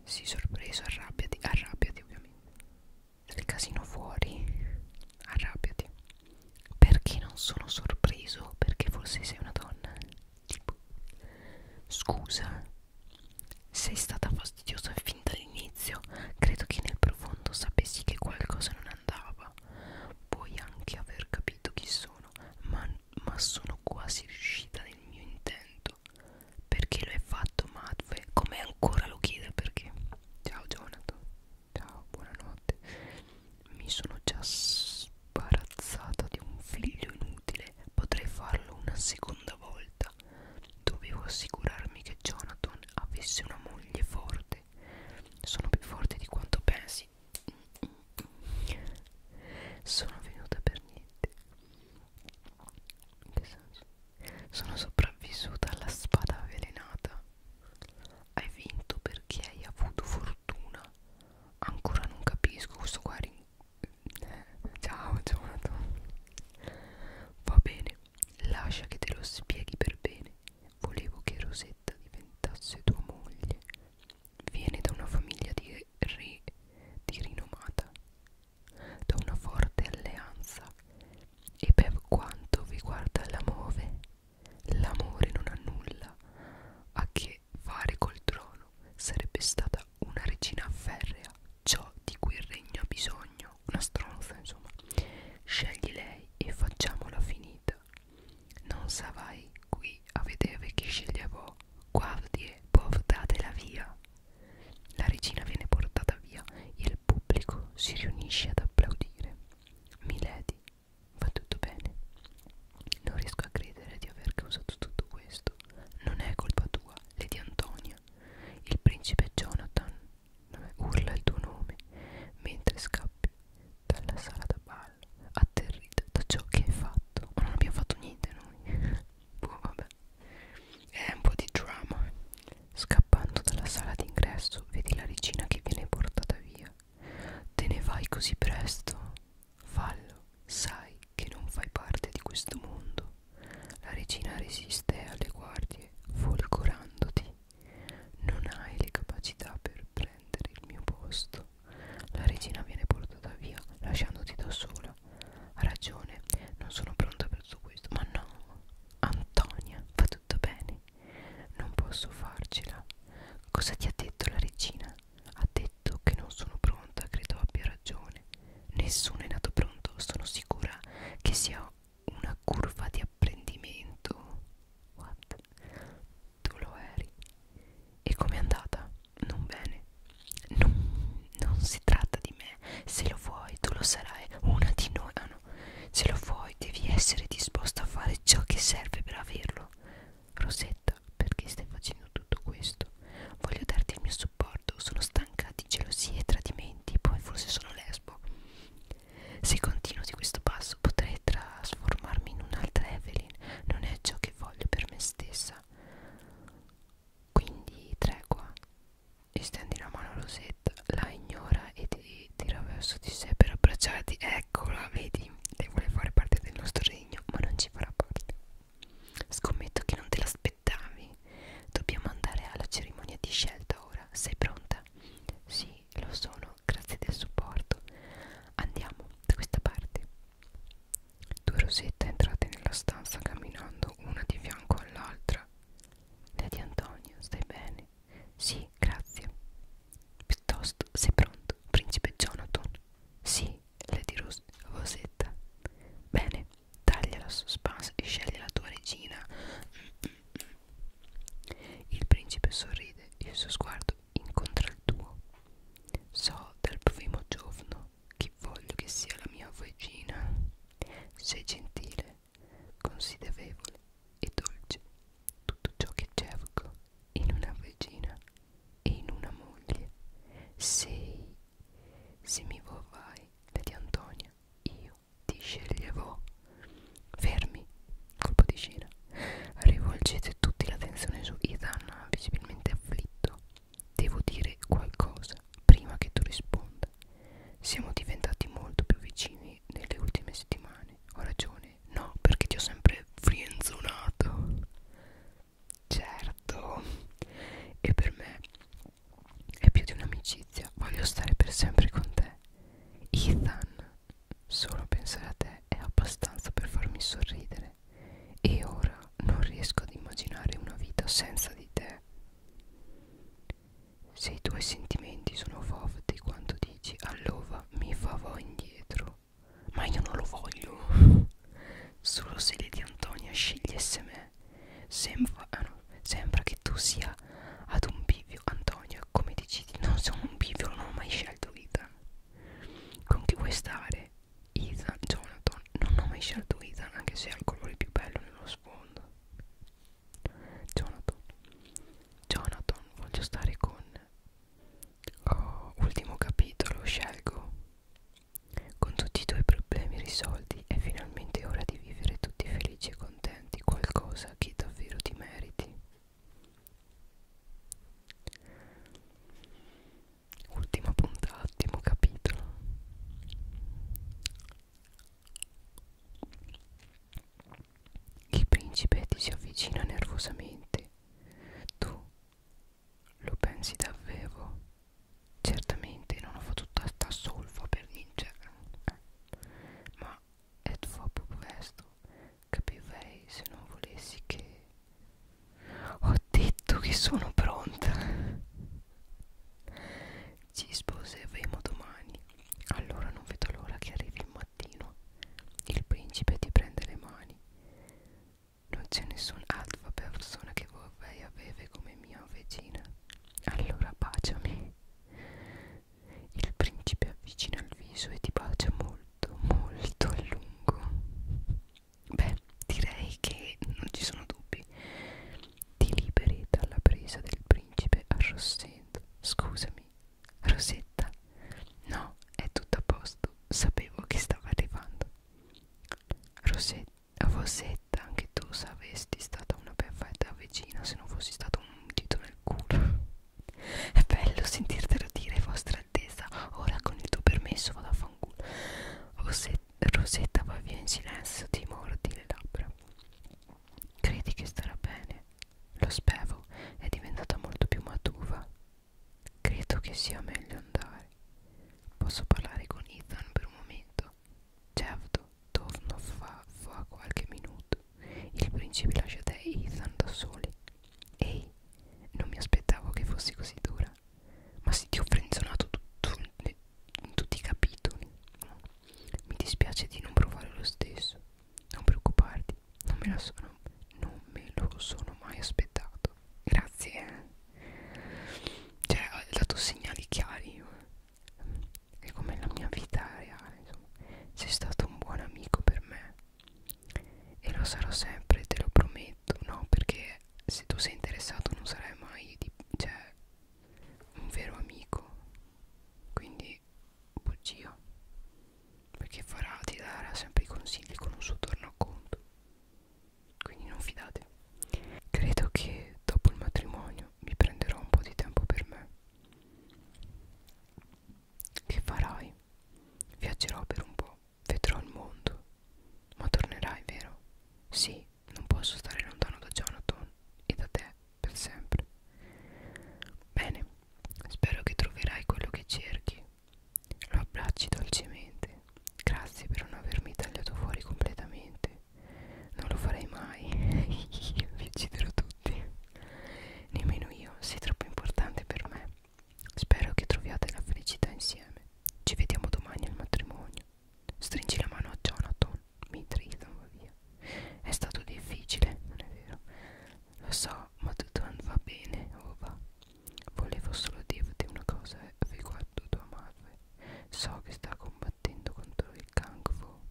Sii sorpreso, arrabbiati, arrabbiati ovviamente del casino fuori arrabbiati perché non sono sorpreso perché forse sei una donna tipo scusa sei stata fastidiosa fin dall'inizio credo che nel profondo sapessi che qualcosa non andava puoi anche aver capito chi sono ma, ma sono quasi riuscita nel mio intento perché lo hai fatto Madve come ancora lo chiede perché ciao Jonathan ciao buonanotte mi sono già sbarazzata di un figlio inutile potrei farlo una seconda volta dovevo assicurarmi che Jonathan avesse una moglie forte sono più forte di quanto pensi sono venuta per niente in che senso? Sono sopravvissuta alla spada avvelenata. Hai vinto perché hai avuto fortuna. Ancora non capisco questo qua. Ciao, Jonathan. Va bene, lascia che te lo spieghi per bene. Volevo che Rosetta diventasse tua moglie. Viene da una famiglia di re di rinomata, da una forte alleanza e per quanto riguarda l'amore, l'amore non ha nulla a che fare col trono, sarebbe stata una regina ferrea, ciò di cui il regno ha bisogno, una stronza insomma. Scegli lei e facciamola finita. Non sarai qui a vedere chi sceglierò, guardi e portatela via. La regina viene portata via, il il pubblico si riunisce ad applaudire. Milady, va tutto bene. Non riesco a credere di aver causato tutto questo. Non è colpa tua, Lady Antonia. Il principe Jonathan urla il tuo nome mentre scappi dalla sala da ballo, atterrita da ciò che hai fatto. Ma non abbiamo fatto niente noi. Boh, vabbè. È un po' di drama. Scappando dalla sala d'ingresso vedi la regina che viene portata via. Te ne vai così presto? Fallo, sai che non fai parte di questo mondo. La regina resiste alle guardie, folgorandoti. Non hai le capacità per prendere il mio posto. La regina viene portata via, lasciandoti da sola. Ha ragione, non sono pronta per tutto questo. Ma no, Antonia, va tutto bene. Non posso farcela. Cosa ti ha detto la regina? Ha detto che non sono pronta, credo abbia ragione. Nessuno è nato pronto, sono sicura che sia una curva di apprendimento. What? Tu lo eri. E com'è andata? Non bene. Non, non si tratta di me. Se lo vuoi, tu lo sarai. Una di noi piano. Se lo vuoi, devi essere disposta a fare ciò che serve per averlo. Rosetta, perché stai facendo tutto questo? Voglio darti il mio supporto. Sono stanca di gelosie e tradimenti. Poi forse sono lesbo. Se continuo di questo passo, potrei trasformarmi in un'altra Evelyn. Non è ciò che voglio per me stessa. Quindi, tregua e stendi la mano a Rosetta, la ignora e ti tira verso di sé per abbracciarti. Eccola, vedi, lei vuole fare parte del nostro regno, ma non ci farà parte. Scommetto che non te l'aspettavi. Dobbiamo andare alla cerimonia di scelta ora. Sei pronta? Sì, lo sono, grazie del supporto. Andiamo da questa parte. Due rosette entrate nella stanza camminando una di fianco all'altra. Lady Antonio, stai bene? Sì, grazie. Piuttosto, sei pronto, principe Jonathan? Sì, Lady Rose, Rosetta. Bene, taglia la suspense e scegli la tua regina. Il principe sorride e il suo sguardo incontra il tuo. So dal primo giorno che voglio che sia la mia regina. Sei gentile, considerevole e dolce tutto ciò che cerco in una regina e in una moglie. Sei, se mi vorrai, Lady Antonia, io ti sceglierò. Fermi, colpo di scena. Rivolgete tutti l'attenzione su Ethan, visibilmente afflitto. Devo dire qualcosa prima che tu risponda. Siamo diventati molto più vicini ultimi, nelle ultime settimane ho ragione no perché ti ho sempre frienzonato certo e per me è più di un'amicizia voglio stare per sempre con te Ethan solo pensare a te è abbastanza per farmi sorridere e ora non riesco ad immaginare una vita senza di te se i tuoi sentimenti sono forti quanto dici allora mi farò indietro. Ma io non lo voglio. Solo se Lady Antonia scegliesse me. Sembra, ah no, sembra che tu sia ad un bivio, Antonia, come decidi? Non sono un bivio, non ho mai scelto Ethan. Con chi vuoi stare? Ethan, Jonathan, non ho mai scelto Ethan, anche se ha il colore più bello nello sfondo. Jonathan Jonathan voglio stare con oh, ultimo capitolo scelgo con tutti i tuoi problemi risolti è finalmente ora di vivere tutti felici e contenti qualcosa che davvero ti meriti ultima puntata ultimo capitolo il principe ti si avvicina nervosamente. Tu lo pensi davvero? Certamente non ho fatto tutta sta solfa per vincere. Ma è troppo presto. Capirei se non volessi che... Ho detto che sono pronta. Ci sposeremo domani. Allora non vedo l'ora che arrivi il mattino. Il principe ti prende le mani. Non c'è nessun'altra persona che vorrei avere come mia regina. Allora baciami. Il principe avvicina il viso e ti bacia molto, molto a lungo. Beh, direi che non ci sono dubbi ti liberi dalla presa del principe a Rossetta. Scusami, Rosetta. No, è tutto a posto. Sapevo che stava arrivando. Rosetta, Rosetta anche tu saresti stata una perfetta vicina se non fossi stato un dito nel culo. È bello sentirtelo dire, vostra attesa. Ora con il tuo permesso vado a fanculo. Rosetta, Rosetta va via in silenzio, ti mordi le labbra. Credi che starà bene? Lo spevo, è diventata molto più matura. Credo che sia meglio andare. Posso parlare con Ethan per un momento? Certo, torno fra, fra qualche minuto. Il principe lascia te e Ethan da soli. Ehi, non mi aspettavo che fossi così dura. Ma se ti ho frenzonato tu, tu, in tutti i capitoli. Mi dispiace di non provare lo stesso. Non preoccuparti, non me, la sono, non me lo sono mai aspettato. Grazie. Eh. Cioè, ha dato segnali chiari. È come la mia vita reale, insomma. Sei stato un buon amico per me. E lo sarò sempre, te lo prometto. No, perché se tu sei interessato non sarai mai di, cioè, un vero amico. Quindi bugia perché farà ti darà sempre i consigli con un suo tornaconto quindi non fidate credo che dopo il matrimonio mi prenderò un po' di tempo per me che farai? viaggerò per un po' vedrò il mondo ma tornerai vero? sì non posso stare lontano da Jonathan e da te per sempre. Bene, spero che troverai quello che cerchi. Lo abbracci dolcemente. Grazie per non avermi tagliato fuori completamente. Non lo farei mai. Vi ucciderò tutti. Nemmeno io, sei troppo importante per me. Spero che troviate la felicità insieme. Ci vediamo domani al matrimonio. Stringi la mano a Jonathan mi tritano via. È stato difficile, non è vero? Lo so, ma tutto non va bene, o oh, va? Volevo solo dirti una cosa eh, riguardo tua madre. So che sta combattendo contro il cancro.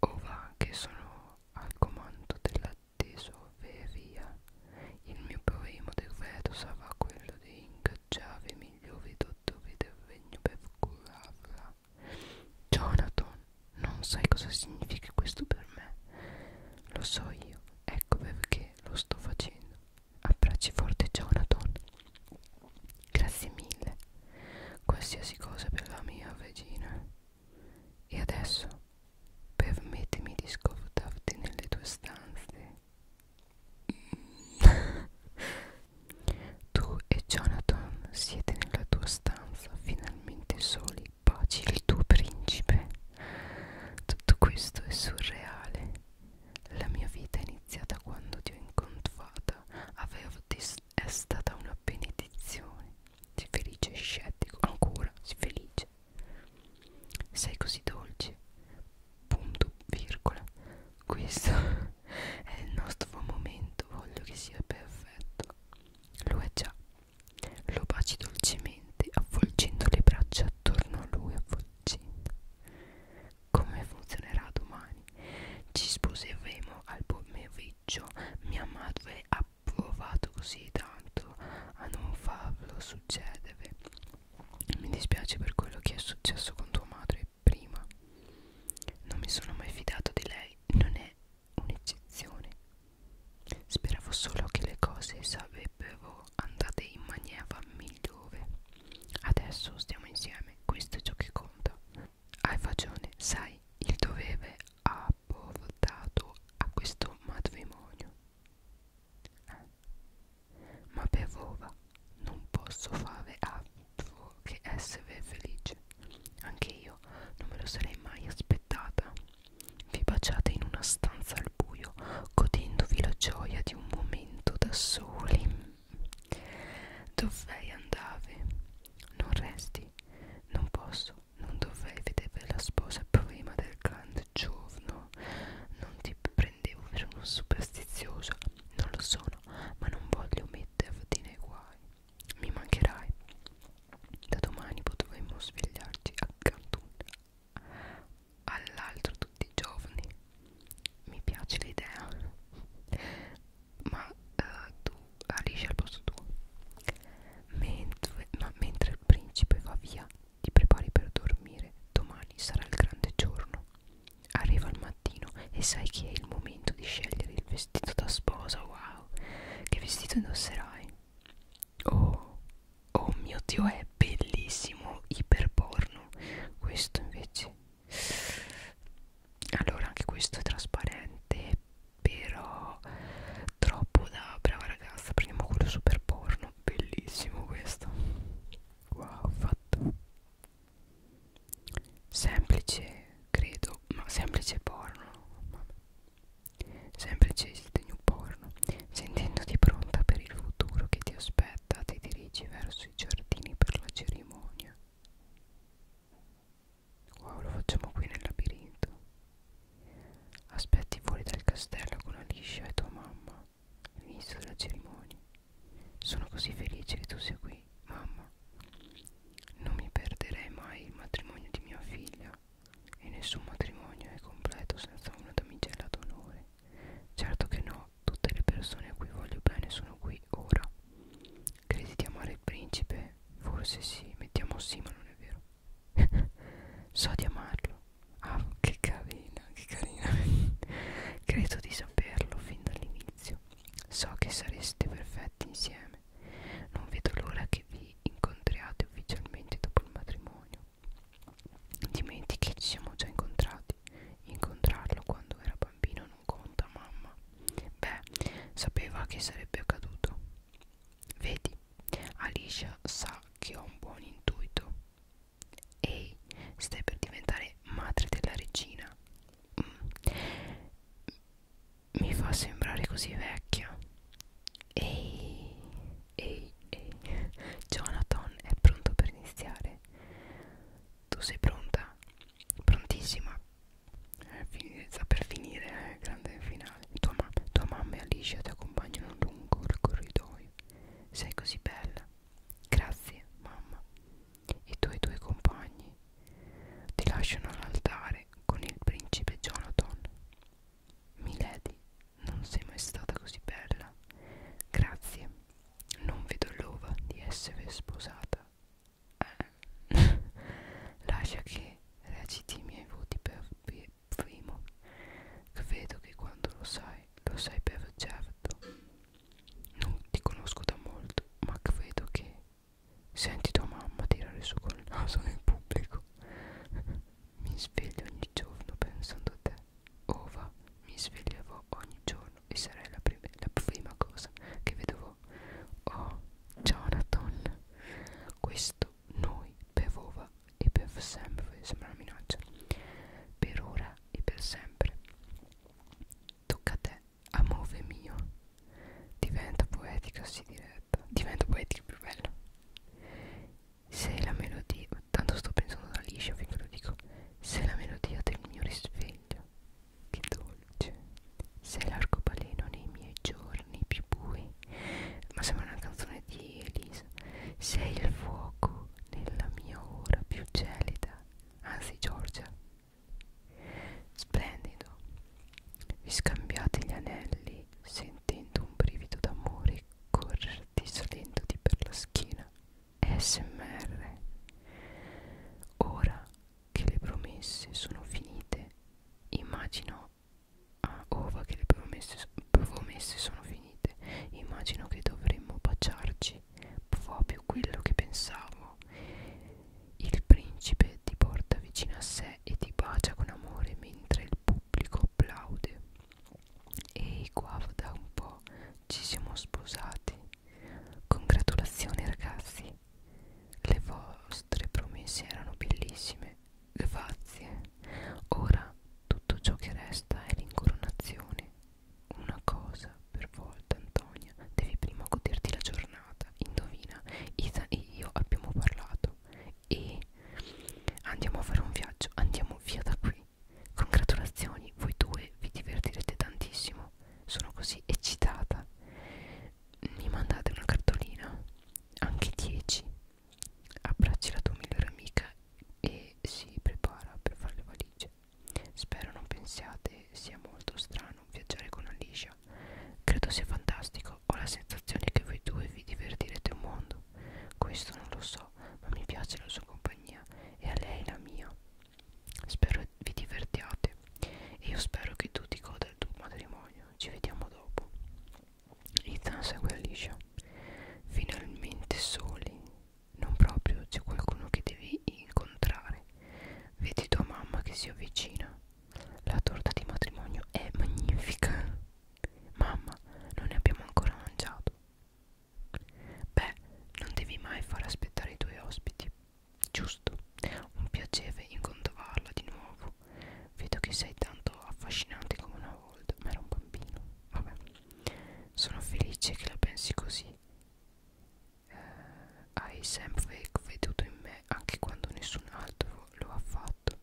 O oh, va che sono al comando della tesoreria. Il mio primo decreto sarà quello di ingaggiare i migliori dottori del regno per curarla. Jonathan, non sai cosa significa questo per me. Lo so io, ecco perché lo sto facendo. Abbracci forte Jonathan. Grazie mille. Qualsiasi cosa per la mia regina. E adesso permettimi di scordarti nelle tue stanze. Tu e Jonathan siete nella tua stanza, finalmente soli, baci il tuo principe. Tutto questo è surreale. La mia vita è iniziata quando ti ho incontrata. Avevo è stata una benedizione. Sei felice e scettico, ancora, sei felice. Sei così dolce. Punto, virgola. Questo è il nostro momento, voglio che sia perfetto. Lo è già. Lo baci dolcemente, avvolgendo le braccia attorno a lui, avvolgendo. Come funzionerà domani? Ci sposeremo al pomeriggio. Mia madre ha provato così tanto a non farlo succedere. Mi dispiace per quello che è successo con tua madre prima non mi sono mai fidato di lei non è un'eccezione speravo solo che le cose sarebbero andate in maniera migliore adesso stiamo insieme questo è ciò che conta hai ragione sai il dovere ha portato a questo matrimonio eh? ma per ora non posso fare altro tuo che SV felice. Anche io non me lo sarei mai aspettata. Vi baciate in una stanza al buio, godendovi la gioia di un momento da soli. Dov'è andare? Non resti, non posso, non dovrei vedere la sposa prima del grande giorno. Non ti prendevo per uno superstizioso, non lo sono, ma non voglio metterti nei guai. Mi mancherai. Da domani potremo svegliarci accanto all'altro tutti i giorni. Mi piace l'idea. Ma uh, tu alisci al posto tuo. Mentre, ma mentre il principe va via, ti prepari per dormire. Domani sarà il grande giorno. Arriva il mattino e sai che è il momento momento di scegliere il vestito da sposa, wow, che vestito indosserai? Oh, oh mio Dio, è bellissimo, iperporno, questo invece, allora anche questo è trasparente, però troppo da brava ragazza, prendiamo quello super porno, bellissimo questo, wow, fatto semplice credo ma semplice porno Vabbè. semplice new porno sentendoti pronta per il futuro che ti aspetta ti dirigi verso i giardini per la cerimonia wow lo facciamo qui nel labirinto aspetti fuori dal castello con Alicia e tua mamma all'inizio della cerimonia sono così felice che tu sia qui lui Mamma Non mi perderei mai il matrimonio di mia figlia E nessun matrimonio è completo senza una damigella d'onore Certo che no, tutte le persone a cui voglio bene sono qui ora Credi di amare il principe? Forse sì, mettiamo sì ma non è vero So di amarlo Ah che carina, che carina Credo di saperlo fin dall'inizio So che sareste perfetti insieme insieme non vedo l'ora che vi incontriate ufficialmente dopo il matrimonio dimentichi ci siamo già incontrati incontrarlo quando era bambino non conta mamma beh sapeva che sarebbe accaduto vedi Alicia sa che ho un buon intuito ehi stai per diventare madre della regina mm mi fa sembrare così vecchia. Ehi, ehi, ehi, Jonathan è pronto per iniziare. Tu sei pronta? Prontissima? Sta per finire eh, il grande finale. Tua, ma tua mamma e Alicia ti accompagnano lungo il corridoio. Sei così bella. Grazie, mamma i tuoi due compagni ti lasciano all'altare con il principe Jonathan. Milady, non sei mai stata così bella. Grazie, non vedo l'ova di essere sposata. Eh. Lascia che reciti i miei voti per primo. Credo che quando lo sai, lo sai per certo. Non ti conosco da molto, ma credo che Senti tua mamma tirare su col naso nel pubblico. mi sveglio ogni giorno pensando a te. Ova, mi sveglievo ogni giorno e sarei la, prima, la prima cosa che vedevo. Oh, Jonathan, questo noi per Ova e per sempre. Sembra una minaccia. Per ora e per sempre. Tocca a te amore mio diventa poetica si diretta diventa poetica più bella se la melodia tanto sto pensando da liscia finché lo dico se la melodia del mio risveglio che dolce se l'arcobaleno nei miei giorni più bui ma sembra una canzone di Elisa sei il fuoco nella mia ora più gelida anzi Giorgia Splendido. Vi scambiate gli anelli sentendo un brivido d'amore correrti salendoti per la schiena. SMR. Ora che le promesse sono finite, immagino... Ah, ora che le promesse, promesse sono finite, immagino che dovremmo baciarci proprio quello che pensavo. Il principe eh, ti porta vicino a sé e ti bacia con amore mentre il pubblico applaude. Ehi, guava da un po', ci siamo sposati. Congratulazioni ragazzi, le vostre promesse erano bellissime. Grazie. Ora tutto ciò che resta è l'incoronazione. Una cosa per volta Antonia devi prima goderti la giornata indovina Isa e io abbiamo parlato e andiamo a fare un viaggio andiamo via da qui congratulazioni voi due vi divertirete tantissimo sono così eccitata mi mandate una cartolina anche 10 abbracci la tua migliore amica e si prepara per fare le valigie spero non pensiate sia molto strano viaggiare con Alicia Credo sia fantastico, ho la sensazione che voi due vi divertirete un mondo. Questo non lo so, ma mi piace la sua compagnia e a lei la mia. Spero vi divertiate e io spero che tu ti goda il tuo matrimonio. Ci vediamo dopo. Ethan segue Alicia. Finalmente soli. Non proprio, c'è qualcuno che devi incontrare. Vedi tua mamma che si avvicina. La torta di matrimonio è magnifica. Mamma, non ne abbiamo ancora mangiato. Beh, non devi mai far aspettare i tuoi ospiti. Giusto, un piacere incontrarla di nuovo. Vedo che sei tanto affascinante come una volta, ma era un bambino. Vabbè, sono felice che la pensi così eh, hai sempre creduto in me anche quando nessun altro lo ha fatto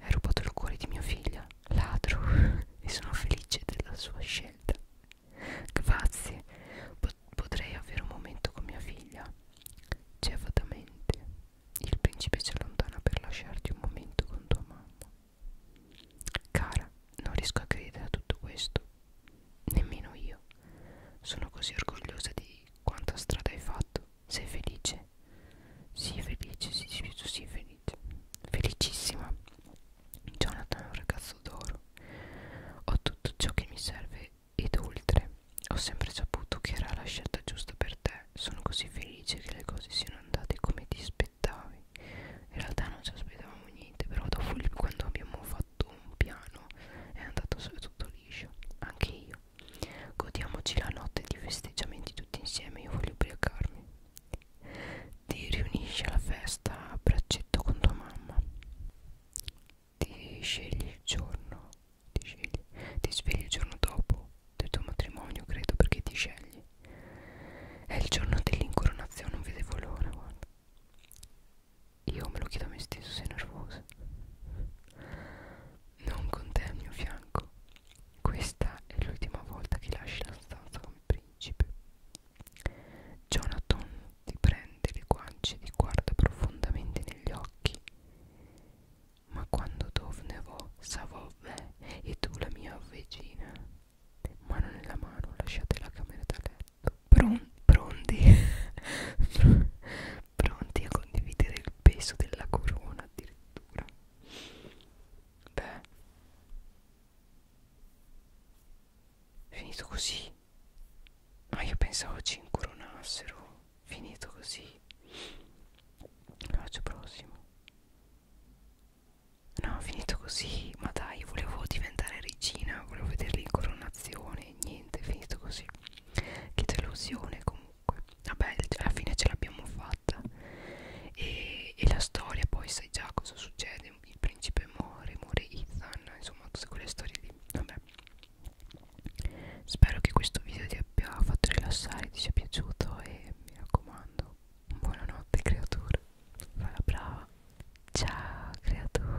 hai rubato il cuore di mia figlia ladro e sono felice della sua scelta grazie Pot potrei avere un momento con mia figlia cevatamente il principe si allontana per lasciarti un momento con tua mamma cara non riesco a credere a tutto questo nemmeno io sono così orgogliosa di quanta strada hai fatto? Sei felice? Sii felice, sii felice, sii felice. Felicissima. Jonathan è un ragazzo d'oro. Ho tutto ciò che mi serve ed oltre. Ho sempre saputo che era la scelta giusta per te. Sono così felice che le cose siano andate come ti aspettavi. In realtà non ci aspettavamo niente, però dopo quando abbiamo fatto sotto un piano è andato tutto liscio anche io godiamoci la notte di festeggiamenti tutti insieme io voglio ubriacarmi ti riunisci alla festa a braccetto con tua mamma ti scegli il giorno ti scegli ti svegli il giorno dopo del tuo matrimonio credo perché ti scegli è il giorno dell'incoronazione non vedevo l'ora guarda io me lo chiedo a me stesso, sei nervosa? Non con te al mio fianco. Questa è l'ultima volta che lasci la stanza come principe. Jonathan ti prende le guance e ti guarda profondamente negli occhi. Ma quando dovnevo savove e tu la mia regina, mano nella mano lasciate la camera da letto. Pron pronti pronti a condividere il peso della corona addirittura beh finito così ma no, io pensavo ci incoronassero finito così faccio prossimo no finito così ma dai volevo diventare regina volevo vederli in coronazione niente finito così che delusione comunque vabbè alla fine ce l'abbiamo fatta e, e la storia poi sai già cosa succede il principe muore muore Ethan insomma tutte quelle storie lì vabbè spero che questo video ti abbia fatto rilassare ti sia piaciuto e mi raccomando buonanotte creatura falla brava ciao creatura